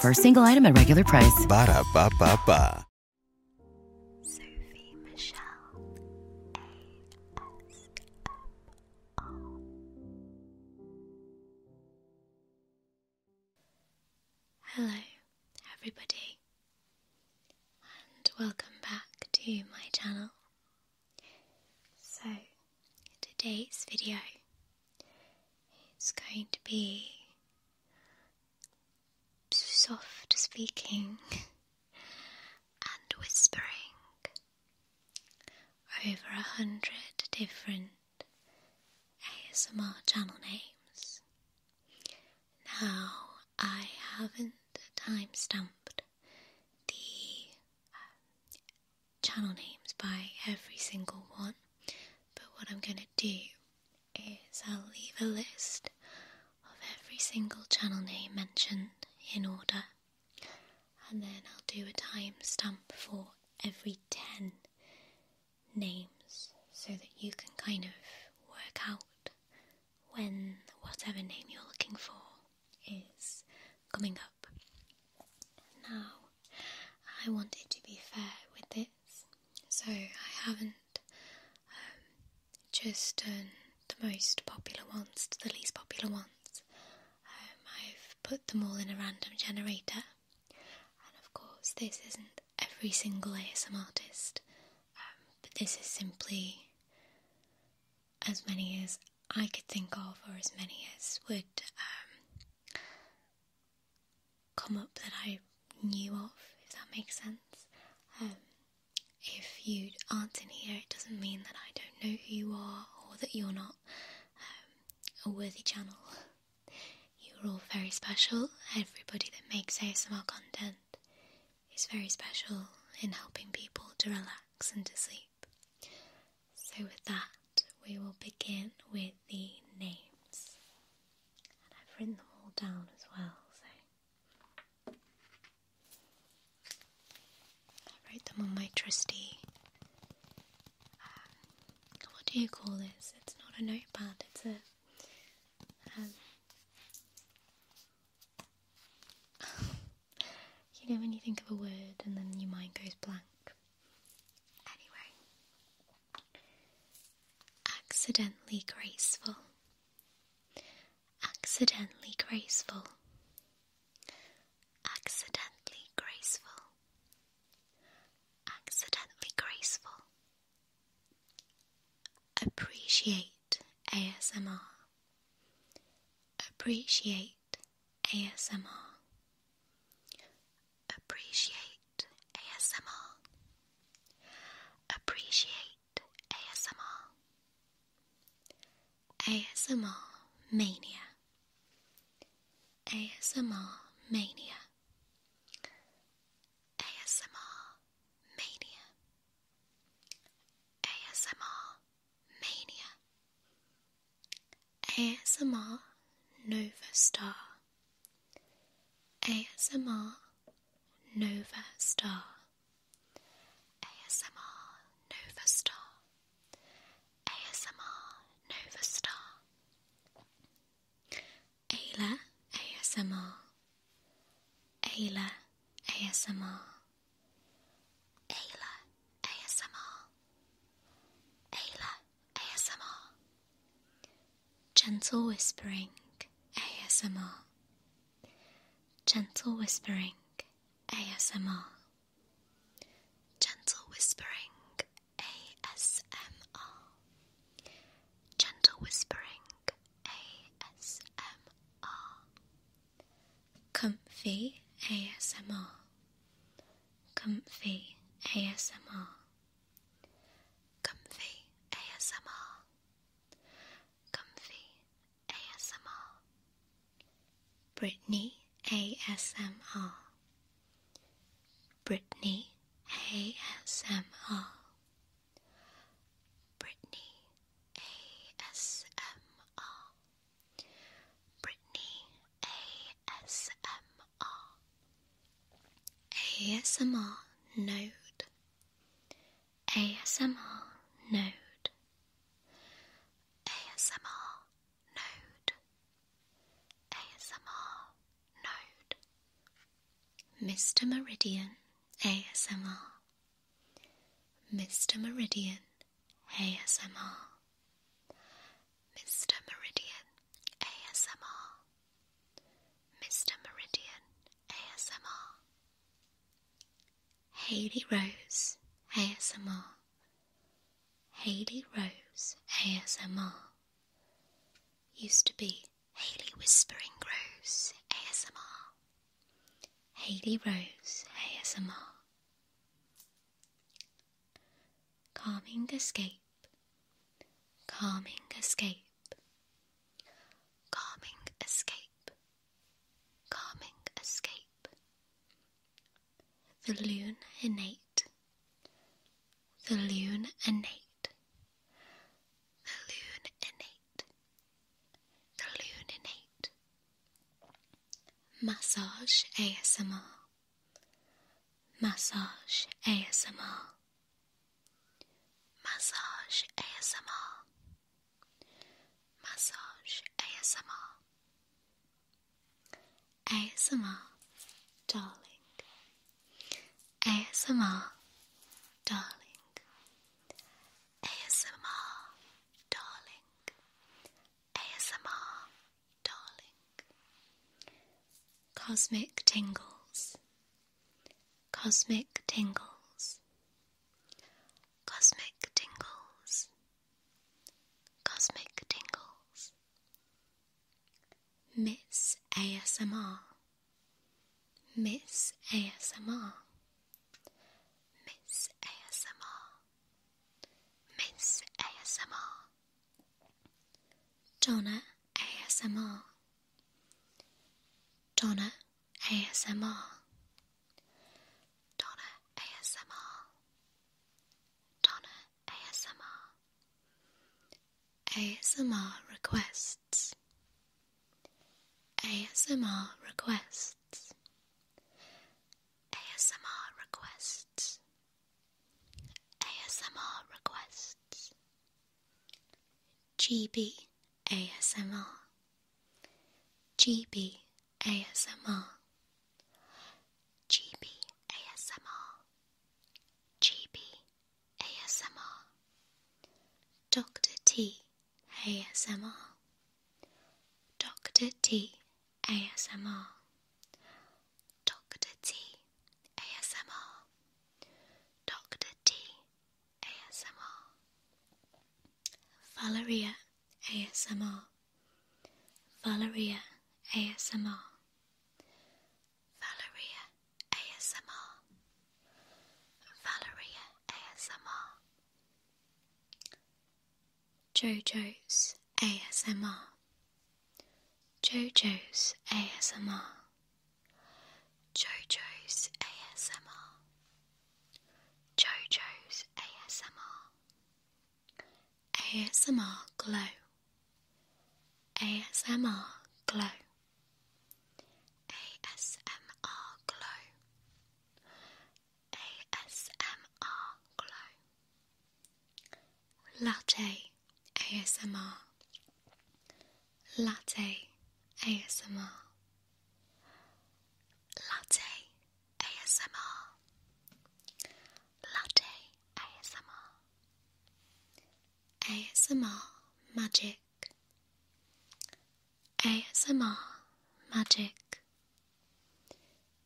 For a single item at regular price. Ba da ba ba Hello, everybody, and welcome back to my channel. So, today's video it's going to be soft speaking and whispering over a hundred different ASMR channel names. Now, I haven't time stamped the um, channel names by every single one, but what I'm going to do is I'll leave a list of every single channel name mentioned in order, and then I'll do a timestamp for every 10 names so that you can kind of work out when whatever name you're looking for is coming up. Now, I wanted to be fair with this, so I haven't um, just the most popular ones the least popular ones. Um, I've put them all in a random generator, and of course, this isn't every single ASM artist, um, but this is simply as many as I could think of, or as many as would come up that I knew of, if that makes sense. Um, if you aren't in here, it doesn't mean that I don't know who you are or that you're not um, a worthy channel. You're all very special. Everybody that makes ASMR content is very special in helping people to relax and to sleep. So, with that, we will begin with the names. And I've written them all down as well, so I wrote them on my trusty. Um, what do you call this? It's not a notepad, it's a. Um, you know, when you think of a word and then your mind goes blank, Anyway, accidentally graceful, accidentally graceful, accidentally graceful, accidentally graceful. Appreciate ASMR. Appreciate ASMR. Appreciate ASMR. Appreciate ASMR. ASMR Mania. ASMR Mania. ASMR Mania. ASMR Mania. ASMR Nova Star. ASMR Nova Star. ASMR Nova Star. ASMR Nova Star. Ayla ASMR. Ayla ASMR. Ayla ASMR. Ayla ASMR. Gentle Whispering ASMR. Gentle Whispering ASMR. Gentle Whispering ASMR. Gentle Whispering ASMR. Comfy ASMR. Comfy ASMR. Comfy ASMR. Comfy ASMR. Brittany ASMR. Brittany ASMR. Brittany ASMR. Brittany ASMR ASMR Node ASMR Node ASMR Node ASMR Node Mr. Meridian ASMR Mr. Meridian ASMR, Mr. Meridian ASMR, Mr. Meridian ASMR, Haley Rose ASMR, Haley Rose ASMR, used to be Haley Whispering Rose ASMR, Haley Rose ASMR. Calming escape, calming escape, calming escape, calming escape. The loon innate, the loon innate, the loon innate, the loon innate. Massage ASMR. Massage ASMR. Massage ASMR. Massage ASMR. ASMR, darling. ASMR, darling. ASMR, darling. ASMR, darling. Cosmic tingles, cosmic tingles, cosmic tingles, cosmic tingles. Miss ASMR, Miss ASMR, Miss ASMR. Miss ASMR, Donna ASMR, Donna ASMR, Donna ASMR, Donna ASMR, ASMR requests, ASMR requests. ASMR requests. requests. ASMR requests. GB ASMR. GB ASMR. GB ASMR. GB ASMR. Dr. T ASMR. Dr. T ASMR, Dr. T ASMR, Dr. T ASMR, Valeria ASMR, Valeria ASMR, Valeria ASMR, Valeria ASMR, JoJo's ASMR. JoJo's ASMR. JoJo's ASMR. JoJo's ASMR. ASMR Glow. ASMR Glow. ASMR Glow. ASMR Glow Latte ASMR Latte ASMR Latte ASMR Latte ASMR ASMR Magic ASMR Magic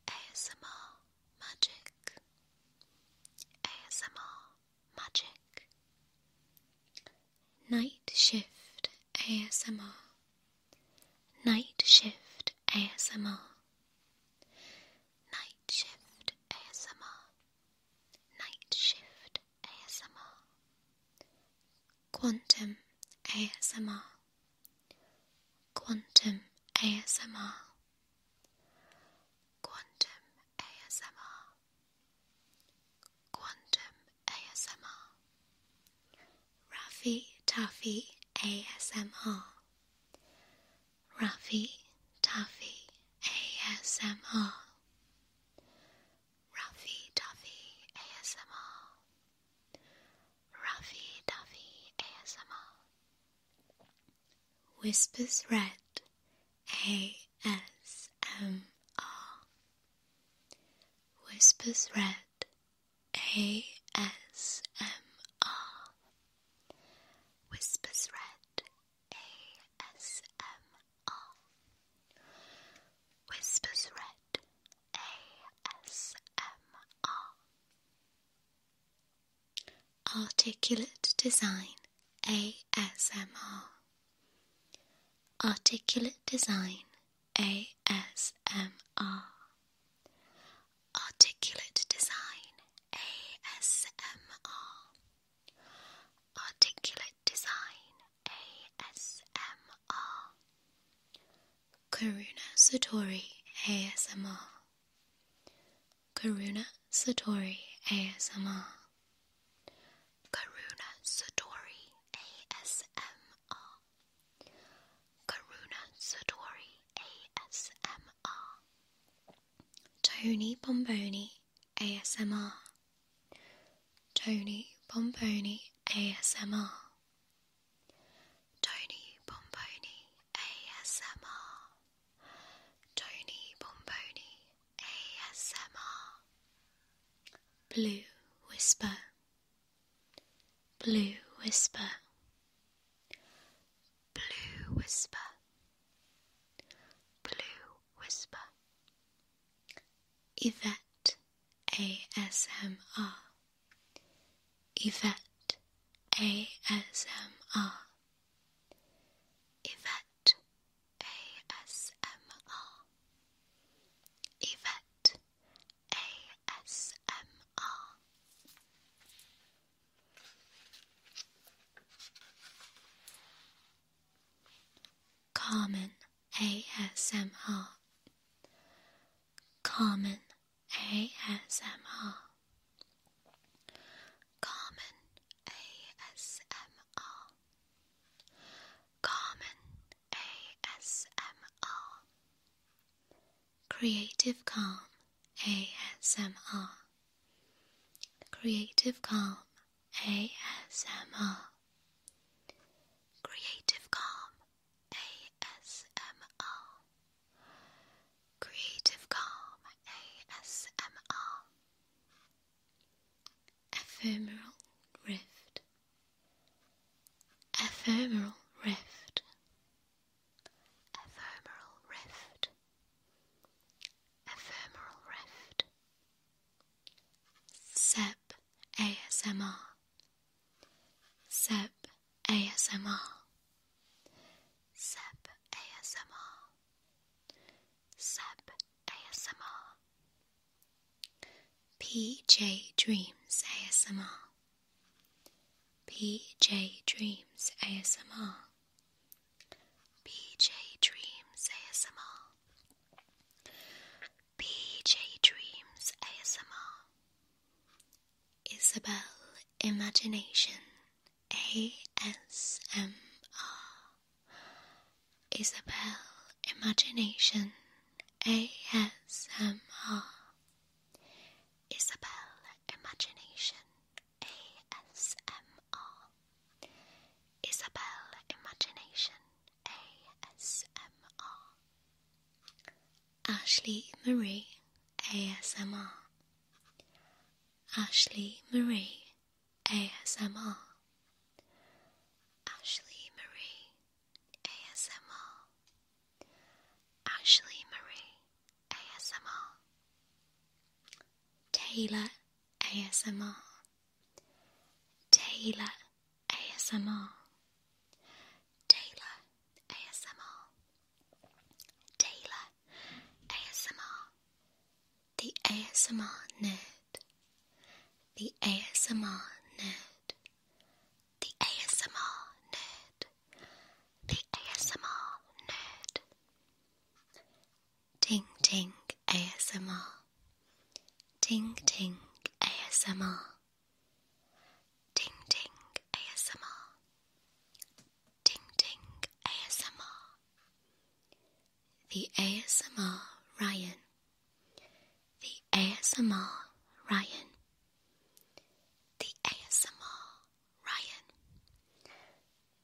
ASMR magic, ASMR magic, night shift ASMR, night shift ASMR, night shift ASMR, night shift ASMR, quantum ASMR, quantum ASMR, Quantum ASMR, Quantum ASMR, Rafi Taffy ASMR, Rafi Taffy ASMR, Rafi Taffy ASMR. Ruffy Duffy ASMR Whispers Red ASMR Whispers Red ASMR Whispers Red ASMR Whispers Red ASMR Articulate Design ASMR Articulate Design ASMR Articulate Design ASMR Articulate Design ASMR Karuna Satori ASMR. Karuna Satori ASMR. Karuna Satori ASMR. Karuna Satori ASMR. Tony Bomboni ASMR. Tony Bomboni ASMR. Tony Bomboni ASMR. Tony Bomboni ASMR. Blue Whisper. Blue Whisper. Blue Whisper. Blue Whisper. Yvette ASMR. Yvette ASMR. Yvette ASMR. Yvette ASMR. Carmen ASMR. Carmen ASMR. Carmen ASMR. Carmen ASMR. Creative Calm ASMR. Creative Calm ASMR. Creative Calm ASMR. Creative Calm ASMR. Ephemeral Rift. Ephemeral Rift. Ephemeral Rift. Ephemeral Rift. Sep ASMR. Seb ASMR. Seb ASMR. Seb ASMR. PJ Dreams ASMR. PJ Dreams ASMR. PJ Dreams ASMR. PJ Dreams ASMR. Isabel Imagination ASMR. Isabel Imagination ASMR. Isabel Imagination ASMR. Isabel Imagination ASMR. Ashley Marie ASMR. Ashley Marie ASMR. Ashley Marie ASMR. Ashley Marie ASMR. Taylor ASMR. Taylor ASMR. Taylor ASMR, Taylor ASMR, The ASMR Nerd, The ASMR Nerd, The ASMR Nerd, The ASMR Nerd, Ting Ting ASMR, Ting Ting ASMR. Ding Ding ASMR. Ding Ding ASMR. The ASMR Ryan. The ASMR Ryan. The ASMR Ryan.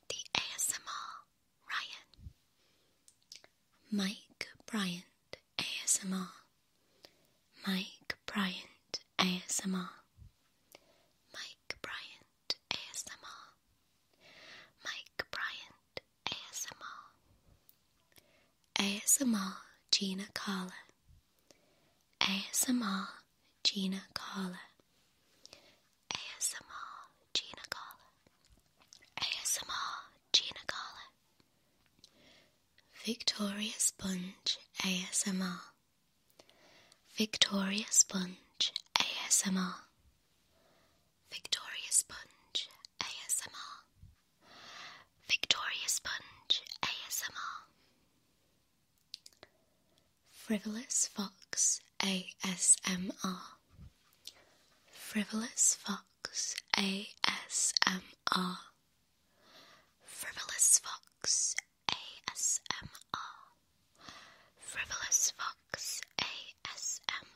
The ASMR Ryan. Mike Bryant ASMR, Mike Bryant ASMR, Mike Bryant ASMR, Mike Bryant ASMR, ASMR Gina Carla, ASMR Gina Carla. ASMR Gina Carla. ASMR Gina Carla. Victoria Sponge ASMR. Victoria Sponge ASMR. Victoria Sponge ASMR. Victoria Sponge ASMR. Frivolous Fox ASMR. Frivolous Fox ASMR. Frivolous Fox ASMR Frivolous Fox ASMR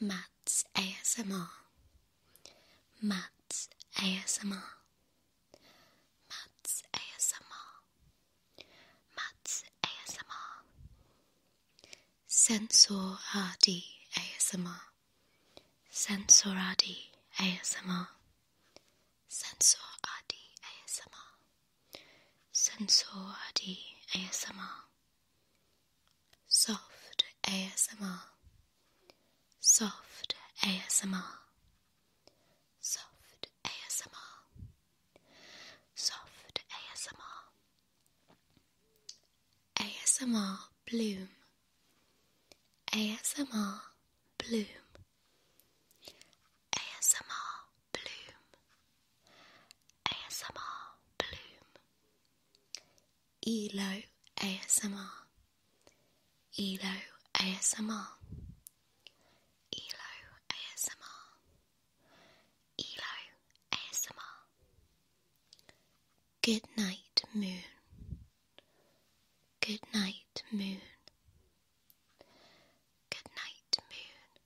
Matt's ASMR Matt's ASMR Matt's ASMR Matt's ASMR Sensor RD Sensoradi ASMR. Sensoradi ASMR. Sensoradi ASMR. Soft ASMR. Soft ASMR. Soft ASMR. Soft ASMR. ASMR Bloom ASMR Bloom. ASMR Bloom. ASMR Bloom. ELO ASMR. ELO ASMR. ELO ASMR. ELO ASMR. Good night, moon. Good night, moon. Good night, moon.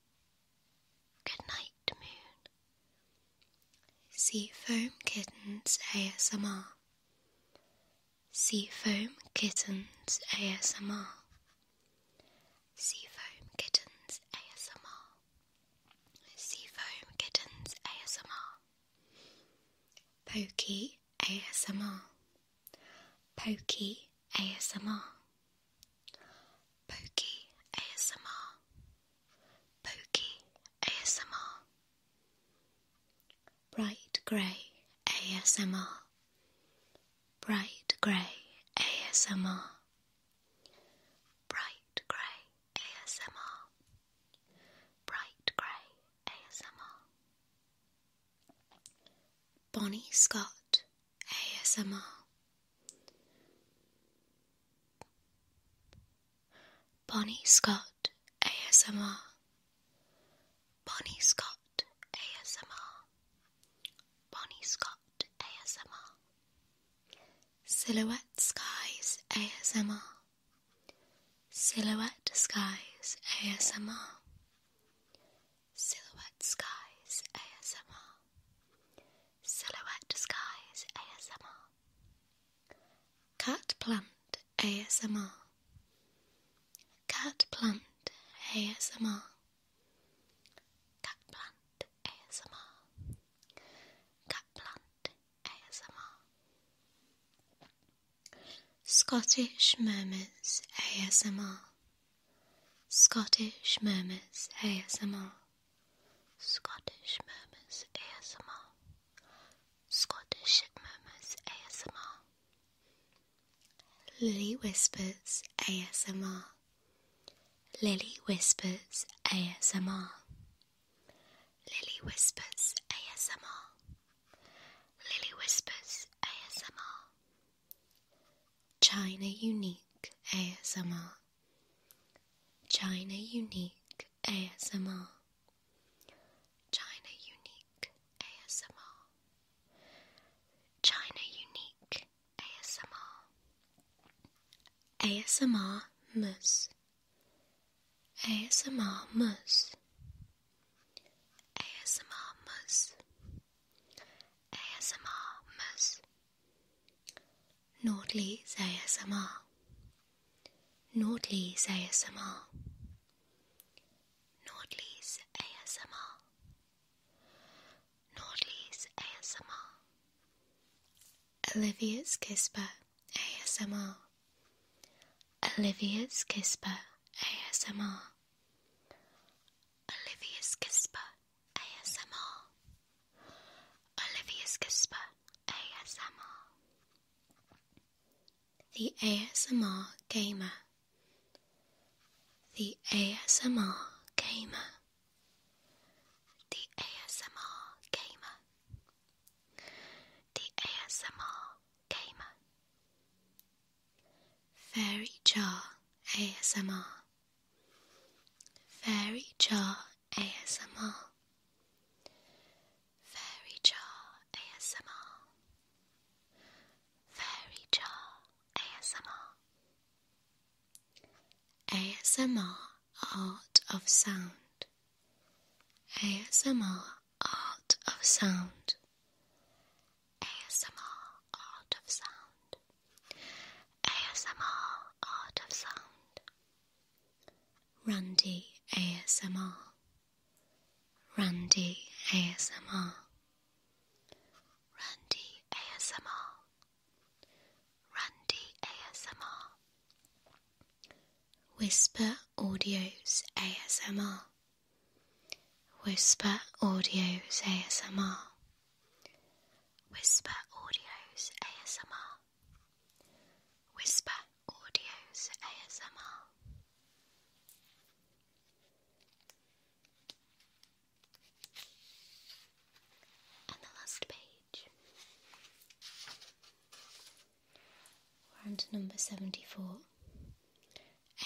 Good night, moon. Sea Foam Kittens ASMR. Sea Foam Kittens ASMR. Sea Foam Kittens ASMR. Sea Foam Kittens ASMR. Pokey ASMR Pokey ASMR Pokey ASMR Pokey ASMR Bright Grey ASMR Bright Grey ASMR Bright Grey ASMR, Bright Grey ASMR, Bonnie Scott ASMR, Bonnie Scott ASMR, Bonnie Scott ASMR, Bonnie Scott ASMR, Silhouette Skies ASMR. Silhouette Skies ASMR. Silhouette Skies ASMR. Silhouette Skies ASMR. Cat Plant ASMR. Cat Plant ASMR. Cat Plant ASMR. Cat Plant ASMR. Scottish Murmurs ASMR. Scottish Murmurs ASMR. Scottish Murmurs ASMR. Scottish Murmurs ASMR. Lily Whispers ASMR. Lily Whispers ASMR. Lily Whispers ASMR. Lily Whispers ASMR. China Unique ASMR. China Unique ASMR. China Unique ASMR. China Unique ASMR. ASMR Mus. ASMR mousse ASMR mousse ASMR mousse Nordley's ASMR Nordley's ASMR Nordley's ASMR Nordley's ASMR Olivia's Kisper ASMR. Olivia's Kisper ASMR. Olivia's Kisper ASMR. Olivia's Kisper ASMR. The ASMR Gamer. The ASMR Gamer. The ASMR Gamer. The ASMR Gamer Fairy Jar ASMR Fairy Jar ASMR Fairy Jar ASMR Fairy Jar ASMR ASMR Art of Sound. ASMR Art of Sound. ASMR Art of Sound. ASMR Art of Sound. Randy ASMR. Randy ASMR. Randy ASMR. Randy ASMR. Whisper Audio's ASMR. Whisper Audio's ASMR. Whisper Audio's ASMR. Whisper Audio's ASMR. And the last beat page. number 74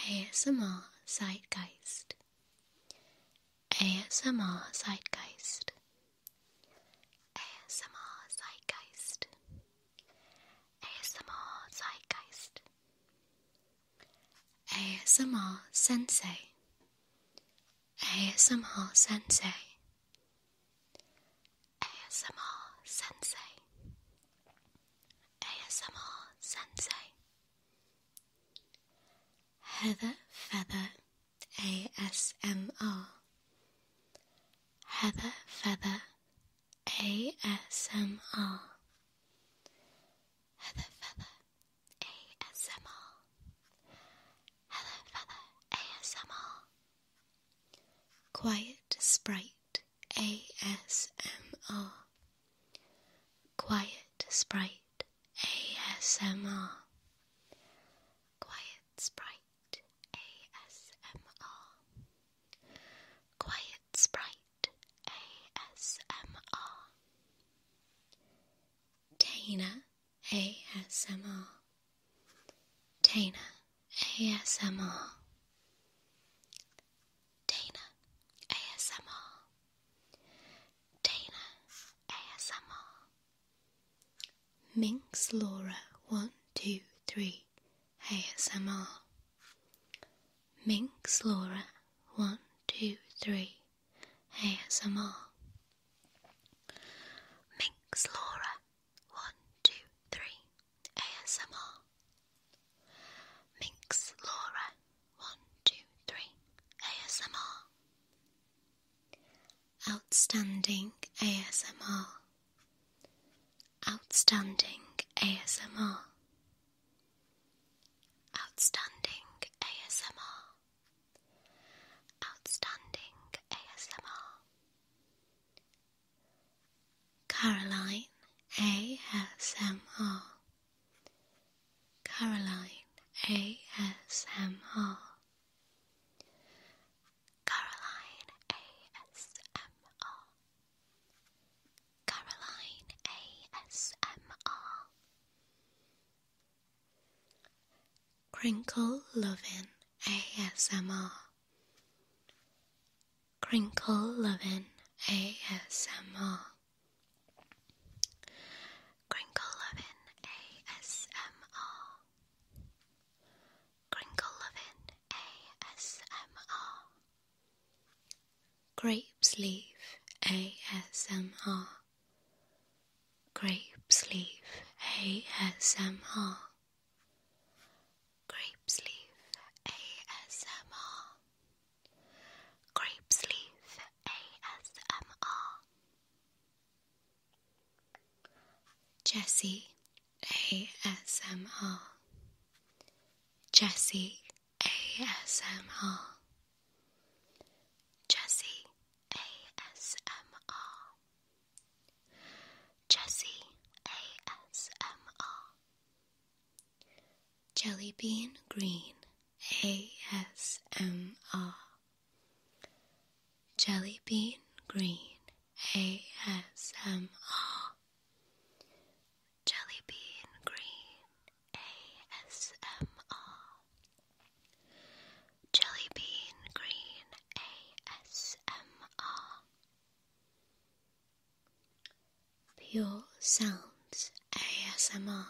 ASMR Zeitgeist. ASMR Zeitgeist. ASMR Zeitgeist. ASMR Zeitgeist. ASMR Sensei. ASMR Sensei. ASMR Sensei. ASMR Sensei. Heather Feather ASMR. Heather Feather ASMR. Heather Feather ASMR. Heather Feather ASMR. Quiet Sprite ASMR. Quiet Sprite ASMR. Quiet Sprite ASMR. Quiet Sprite ASMR. Dana ASMR. Dana ASMR. Dana ASMR. Dana ASMR. Minx Laura 123 ASMR. Minx Laura 123 ASMR. Minx Laura one, two, three. ASMR. Minx Laura. One, two, three. ASMR. Outstanding ASMR. Outstanding ASMR. Outstanding ASMR. Outstanding ASMR. Caroline ASMR. Caroline ASMR. Caroline ASMR. Caroline ASMR. Crinkle Lovin ASMR. Crinkle loving ASMR. Crinkle loving ASMR. Crinkle loving ASMR. Grapes leaf ASMR. Grape's Leaf ASMR. Grape's Leaf ASMR. Grape's Leaf ASMR. Jessie ASMR. Jessie ASMR. Jessie ASMR Jessie ASMR bean Green ASMR Jellybean Green ASMR Jellybean Green ASMR Jelly Bean Green ASMR. Pure Sounds ASMR.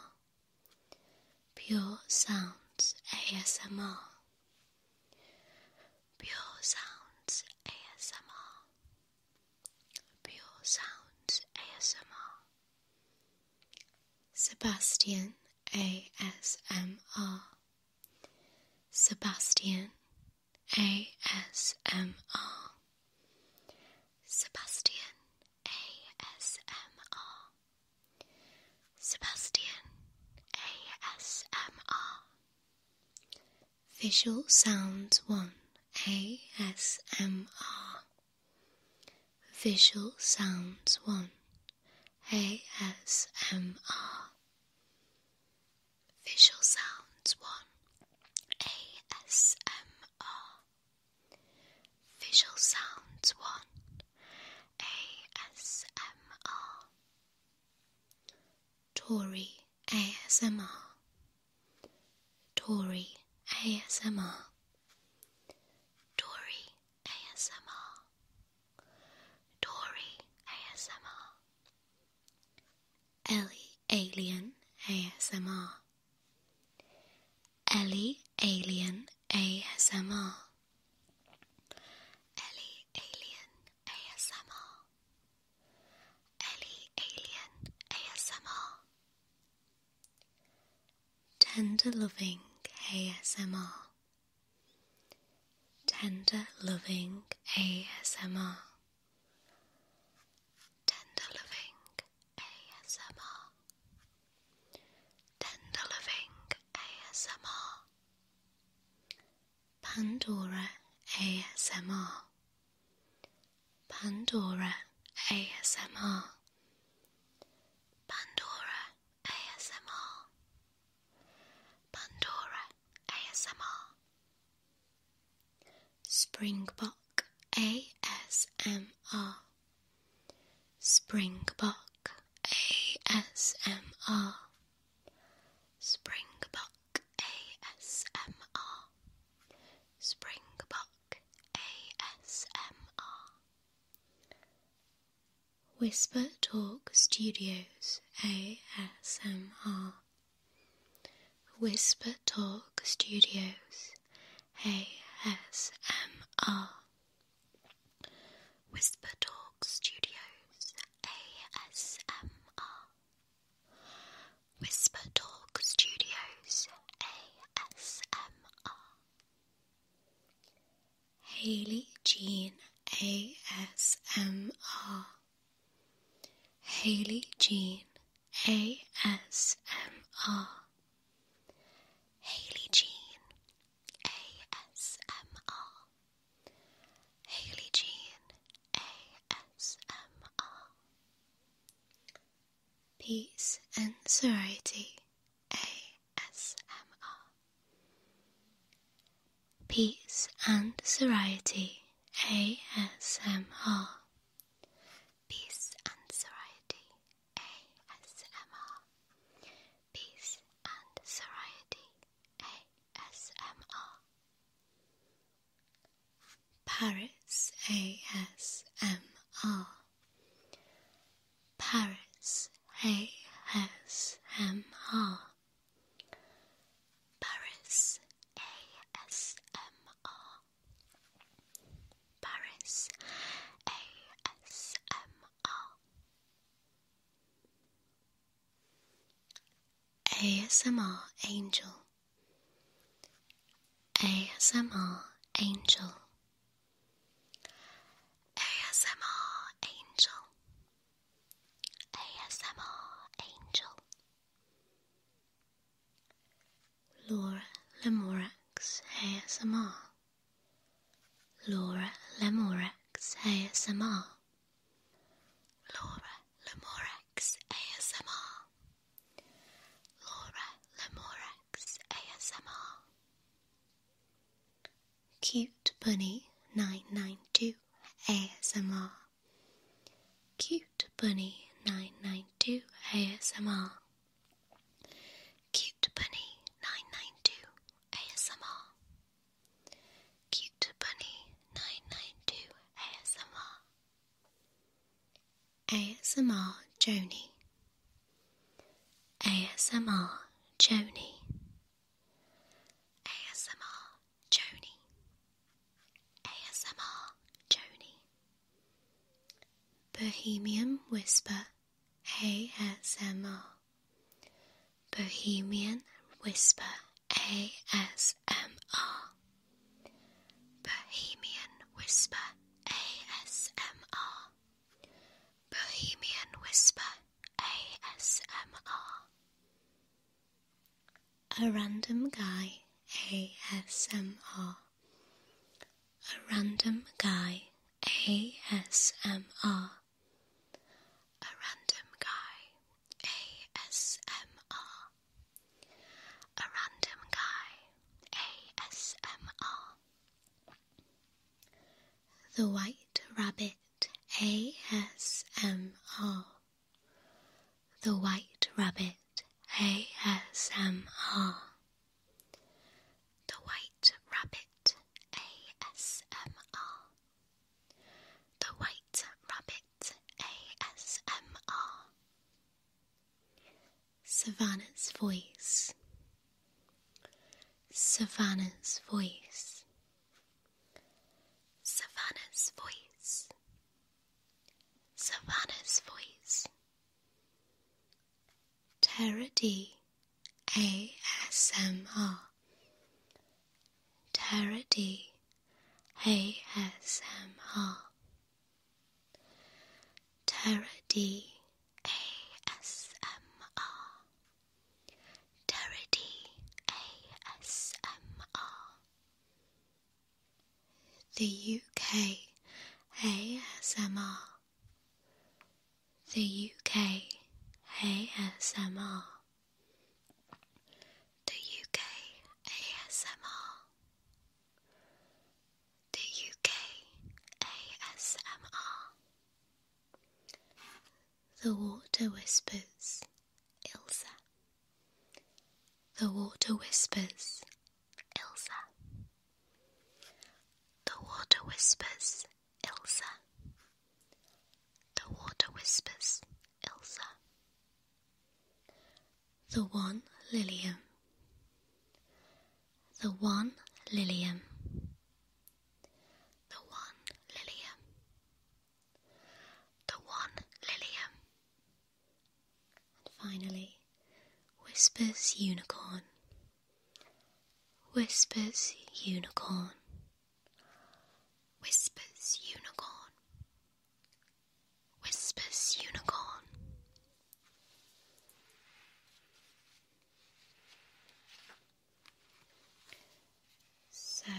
Pure Sounds ASMR. Pure Sounds ASMR. Pure Sounds ASMR. Sebastian ASMR. Sebastian ASMR. Sebastian ASMR. Sebastian ASMR. Visual Sounds 1 ASMR. Visual Sounds 1 ASMR Visual Sounds 1 ASMR Visual Sounds 1 ASMR Tory ASMR Tory ASMR Tory ASMR, Dory ASMR, Ellie Alien ASMR, Ellie Alien ASMR, Ellie Alien ASMR, Ellie Alien ASMR, Tender Loving ASMR. Tender Loving ASMR. Tender Loving ASMR. Tender Loving ASMR. Pandora ASMR. Pandora ASMR. Pandora ASMR. Pandora ASMR. Springbok ASMR. Springbok ASMR. Springbok ASMR. Springbok ASMR. Whisper Talk Studios ASMR. Whisper Talk Studios ASMR. Whisper Talk Studios ASMR. Whisper Talk Studios ASMR. Haley Jean ASMR. Haley Jean ASMR. Haley Jean ASMR. Haley Jean ASMR. Peace and serenity. ASMR. Peace and serenity. ASMR. Peace and serenity. ASMR. Peace and serenity. ASMR. Paris ASMR. Paris ASMR. Paris ASMR. Paris ASMR. ASMR Angel. ASMR Angel. ASMR Angel ASMR Angel Laura Lemorex ASMR Laura Lemorex ASMR Laura Lemorex ASMR Laura Lemorex ASMR Cute Bunny 992 ASMR. Cute Bunny 992 ASMR. Cute Bunny 992 ASMR. Cute Bunny 992 ASMR. ASMR Joni. ASMR Joni. ASMR Joni. ASMR Joni. Bohemian Whisper ASMR. Bohemian Whisper ASMR. Bohemian Whisper ASMR. Bohemian Whisper ASMR A Random Guy ASMR A Random Guy ASMR A Random Guy ASMR A Random Guy ASMR the White Rabbit ASMR. The White Rabbit ASMR. The White Rabbit ASMR. The White Rabbit ASMR. Savannah's voice Savannah's voice. Savannah's voice. Savannah's voice. Tara D, ASMR. Tara D. Tara D. ASMR Derrity ASMR The UK ASMR The UK ASMR The UK ASMR the UK ASMR the water whispers, Ilse. The water whispers, Ilse. The water whispers, Ilse. The water whispers, Ilse. The one Lilium. The one Lilium. The one Lilium. The one Lilium. And finally, Whispers Unicorn. Whispers Unicorn. Whispers Unicorn. Whispers Unicorn. So,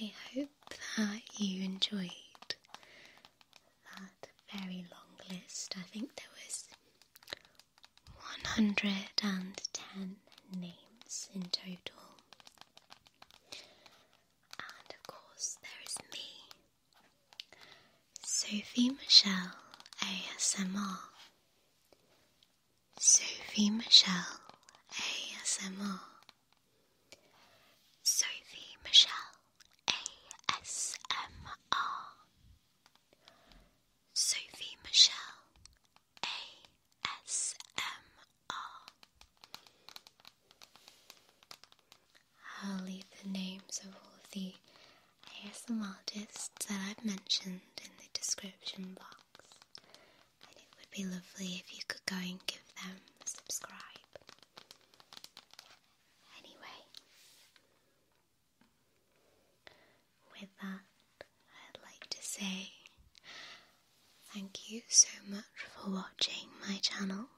I hope that you enjoyed that very long list. I think there was 110 names in total. And of course, there is me. Sophie Michelle ASMR. Sophie Michelle ASMR. Sophie Michelle ASMR. Sophie Michelle ASMR. I'll leave the names of all the Here's some artists that I've mentioned in the description box, and it would be lovely if you could go and give them a subscribe. Anyway, with that, I'd like to say thank you so much for watching my channel.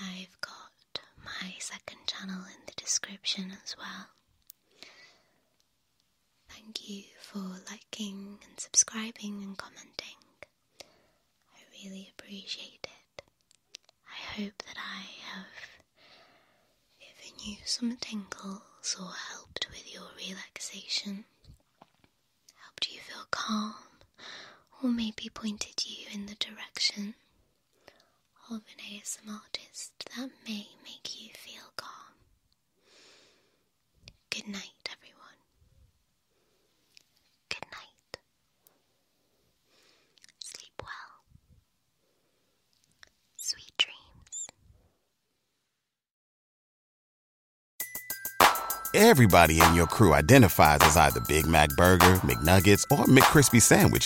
I've got my second channel in the description as well. Thank you for liking and subscribing and commenting. I really appreciate it. I hope that I have given you some tingles or helped with your relaxation, helped you feel calm, or maybe pointed you in the direction of an artist that may make you feel calm. Good night, everyone. Good night. Sleep well. Sweet dreams. Everybody in your crew identifies as either Big Mac Burger, McNuggets, or McCrispy Sandwich